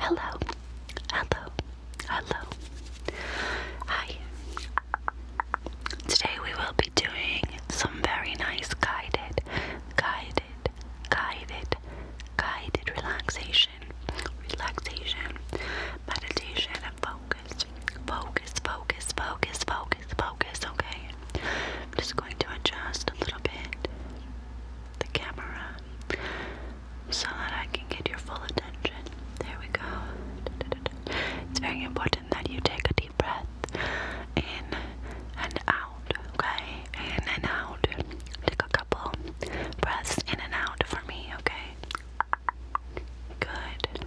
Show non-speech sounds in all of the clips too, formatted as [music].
Hello, hello, hello. Hi. Today we will be doing some very nice guided, guided, guided, guided relaxation, relaxation, meditation, and focus. Focus, focus, focus, focus, focus, okay? I'm just going to adjust a little bit the camera so that I can get your full attention. There we go. It's very important that you take a deep breath in and out, okay? In and out. Take a couple breaths in and out for me, okay? Good.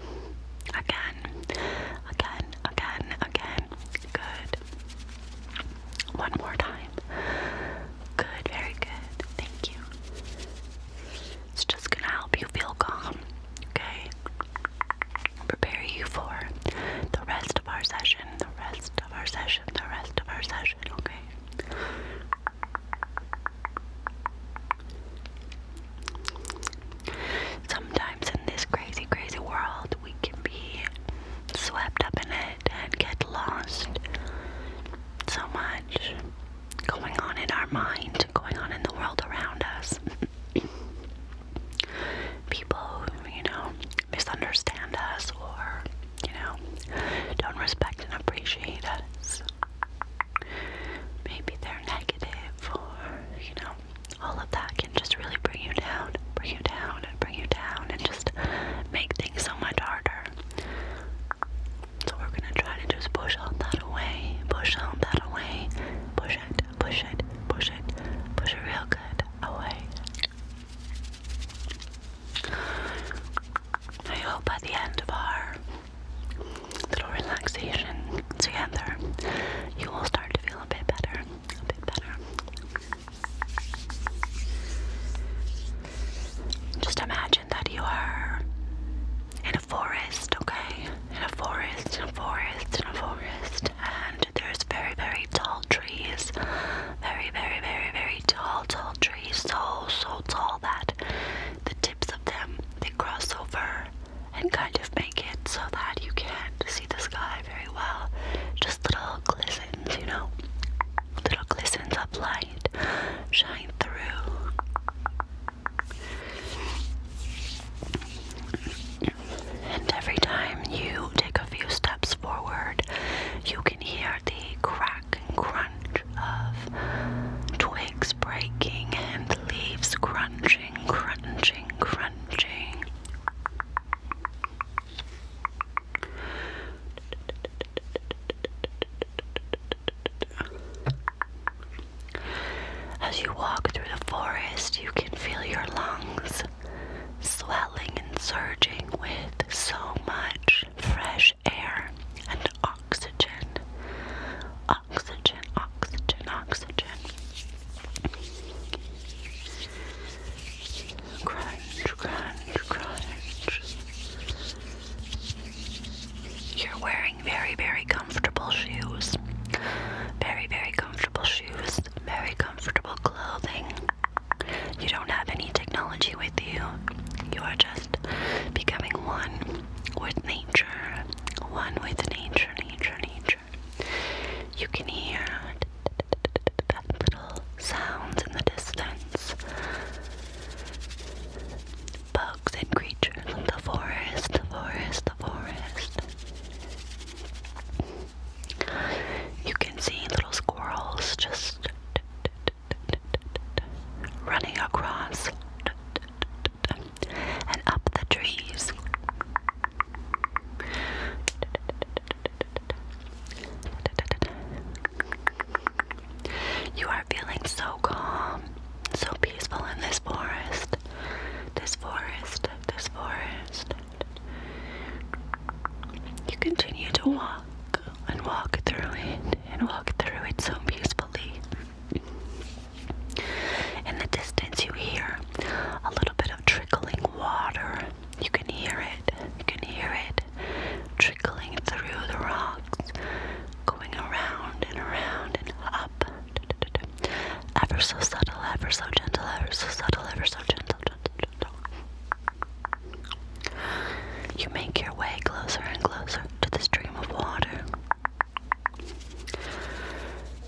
Again, again, again, again. Good. One more time. Good, very good. Thank you. It's just gonna help you feel calm, okay? Prepare you for the rest of our session, the rest of our session, the rest of our session, okay? Sometimes in this crazy, crazy world, we can be swept up in it and get lost. So much going on in our mind, going on in the world around us. [laughs] People who, you know, misunderstand us or, you know, don't respect and appreciate us. Maybe they're negative or, you know, all of that can just really bring you down, bring you down, and bring you down, and just make things so much harder. So we're gonna try to just push all that away, push all that away, push it, push it, push it, push it real good away. I hope by the end of our little relaxation together, you will start to feel a bit better, a bit better, just imagine that you are in a forest, okay? In a forest, in a forest, in a forest, and there's very, very tall trees. Very, very, very, very tall, tall trees. So, so tall that the tips of them they cross over and kind of make it so that you can't see the sky very well. Just little glistens, you know? Little glistens of light shine through. And every time you take a few steps forward, you can hear the crack and crunch of twigs breaking and leaves crunching, crunching, crunching. As you walk through the forest, you can feel your lungs swelling and surging with so much fresh air and oxygen. Oxygen, oxygen, oxygen. Crunch, crunch, crunch. You're wearing very, very comfortable shoes. Very, very comfortable shoes. Very comfortable clothing. You don't have any technology with you. You are just becoming one with nature. One with nature, nature, nature. You can hear little sounds in the distance. Bugs and creatures in the forest, the forest, the forest. You can see little squirrels just running across and up the trees. You are feeling so calm, so peaceful in this forest. This forest, this forest. You continue to walk and walk through it and walk through it so peacefully. In the distance, you hear a little bit of trickling water you can hear it, you can hear it trickling through the rocks, going around and around and up. Ever so subtle, ever so gentle, ever so subtle, ever so gentle, You make your way closer and closer to the stream of water.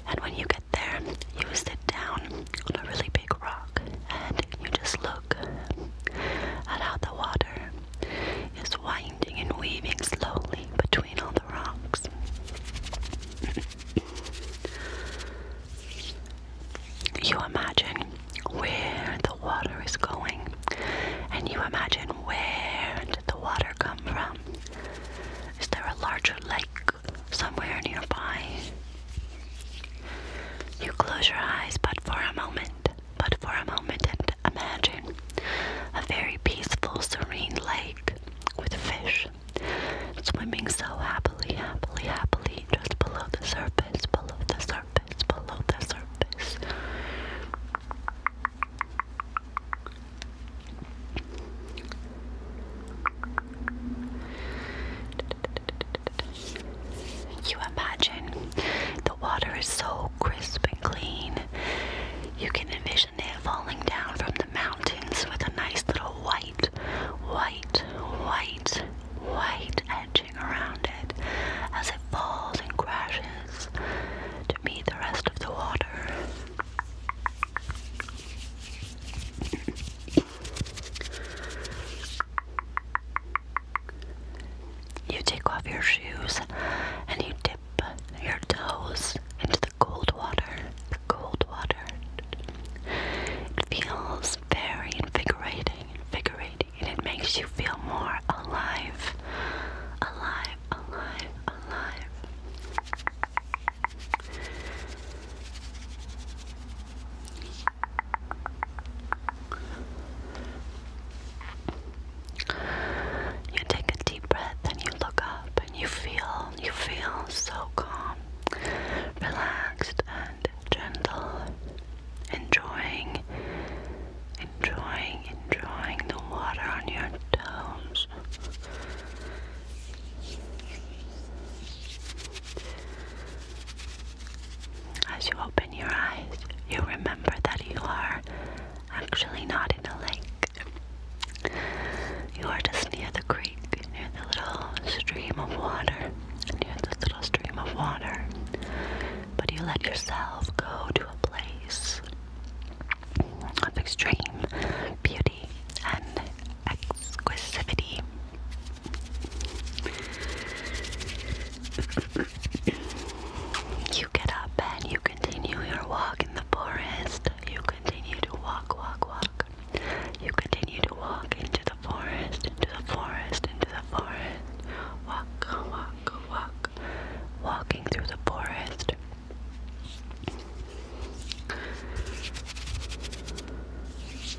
And when you get there, you sit down on a really big rock and you just look at how the water is winding and weaving slowly between all the rocks. [laughs] you imagine where the water is going, and you imagine where did the water come from. Is there a larger lake somewhere nearby? You close your eyes, but for a moment, but for a moment, and imagine a very peaceful, serene lake with fish swimming so happily, happily, happily, just below the surface, below the surface, below the surface. You imagine the water is so crisp and clean. You can envision it falling down from the mountains with a nice little white, white, white, white edging around it as it falls and crashes to meet the rest of the water. You take off your shoes and you dip your toes into the cold water. The cold water. It feels very invigorating, invigorating, and it makes you feel more alive. Alive, alive, alive. You take a deep breath and you look up and you feel, you feel so calm, relaxed, and gentle, enjoying, enjoying, enjoying the water on your toes. As you open your eyes, you remember that you are actually not in a lake. You are just near the creek, near the little stream of water, near the little stream of water. But you let yourself go to a place of extreme beauty exclusivity and exclusivity. you get up and you continue your walk in the forest. You continue to walk, walk, walk. You continue to walk into the forest, into the forest, into the forest. Walk, walk, walk. Walking through the forest.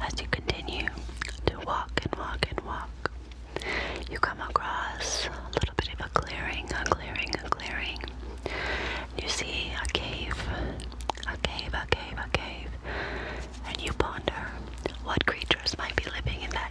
As you continue to walk and walk and walk, you come across a little bit of a clearing, a clearing, a clearing. You see a cave, a cave, a cave, a cave, and you ponder what creatures might be living in that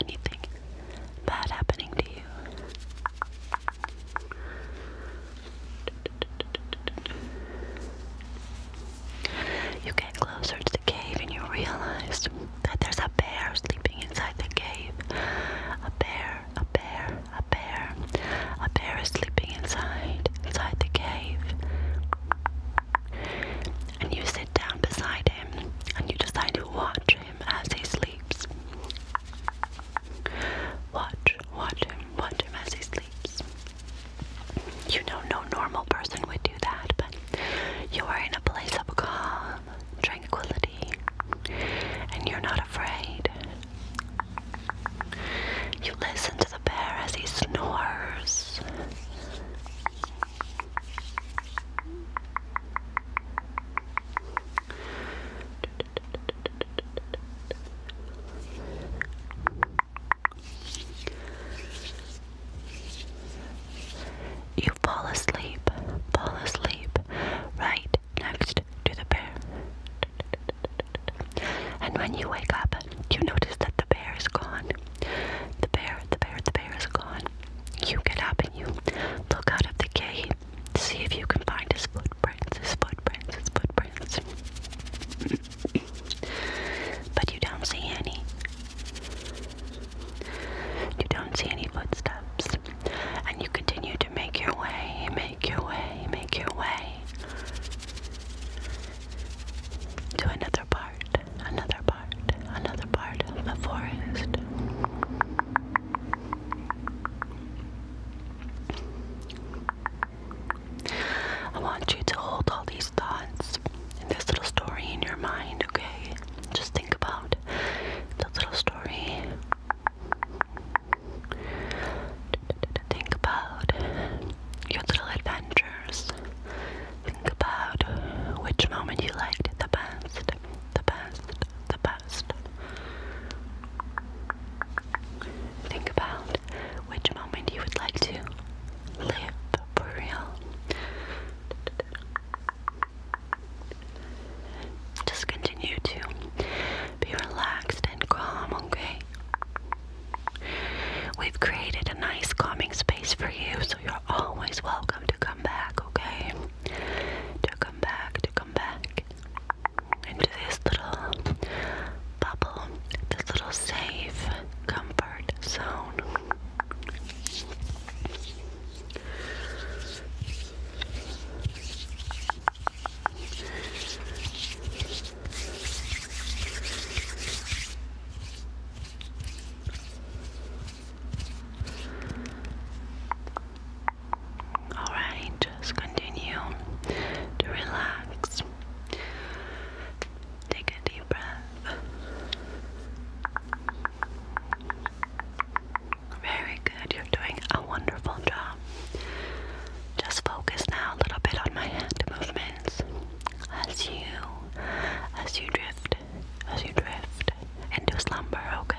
anything bad happening to you. You get closer to the cave and you realize that there's a bear sleeping inside the cave. A bear, a bear, a bear. A bear is sleeping inside, inside the cave. And you sit down beside him and you decide to watch as he sleeps. Watch, watch him, watch him as he sleeps. You know, no normal person would do that, but you are in a place of calm, tranquility, and you're not afraid. You listen to the bear as he snores. You fall asleep, fall asleep, right next to the bear. And when you wake up, you notice that the bear is gone. The bear, the bear, the bear is gone on. You get up and you look out of the cave. See if you can find his footprints, his footprints, his footprints. [clears throat] but you don't see any. You don't see any footsteps. And you continue to make your way, make your way, make your way to another part, another part another part the forest. I want you to hold all these thoughts and this little story in your mind, okay? Just think about the little story. Think about your little adventures. Think about which moment you liked the best the best, the best. Think about which moment you would like to live for real. Just continue to be relaxed and calm, okay? We've created a nice calming space for you, so you're always welcome to come back, okay? to come back, to come back into this little bubble, this little safe comfort zone. Alright, just continue to relax. Take a deep breath. Very good, you're doing a wonderful job. Just focus now a little bit on my hand movements as you as you drift as you drift into slumber, okay?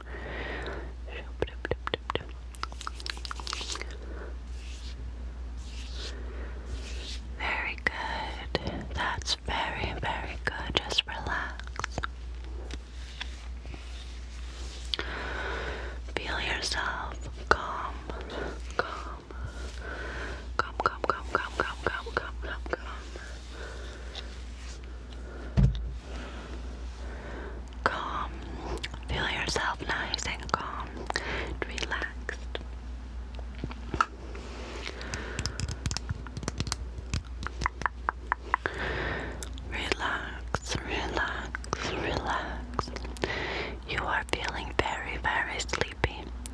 Very good. That's very, very good. Just relax. Feel yourself calm, calm, calm, calm, calm, calm, calm, calm, calm, calm, calm. Feel yourself nice and calm and relaxed. Relax, relax, relax. You are feeling very, very sleepy.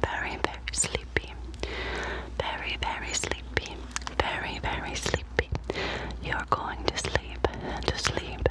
Very, very sleepy. Very, very sleepy. Very, very sleepy. You're going to sleep, to sleep,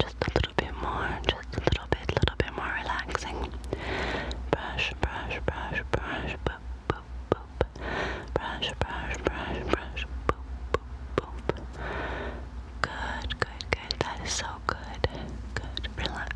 just a little bit more, just a little bit, a little bit more relaxing. Brush, brush, brush, brush, boop, boop, boop. Brush, brush, brush, brush, boop, boop, boop. Good, good, good. That is so good. Good, relax.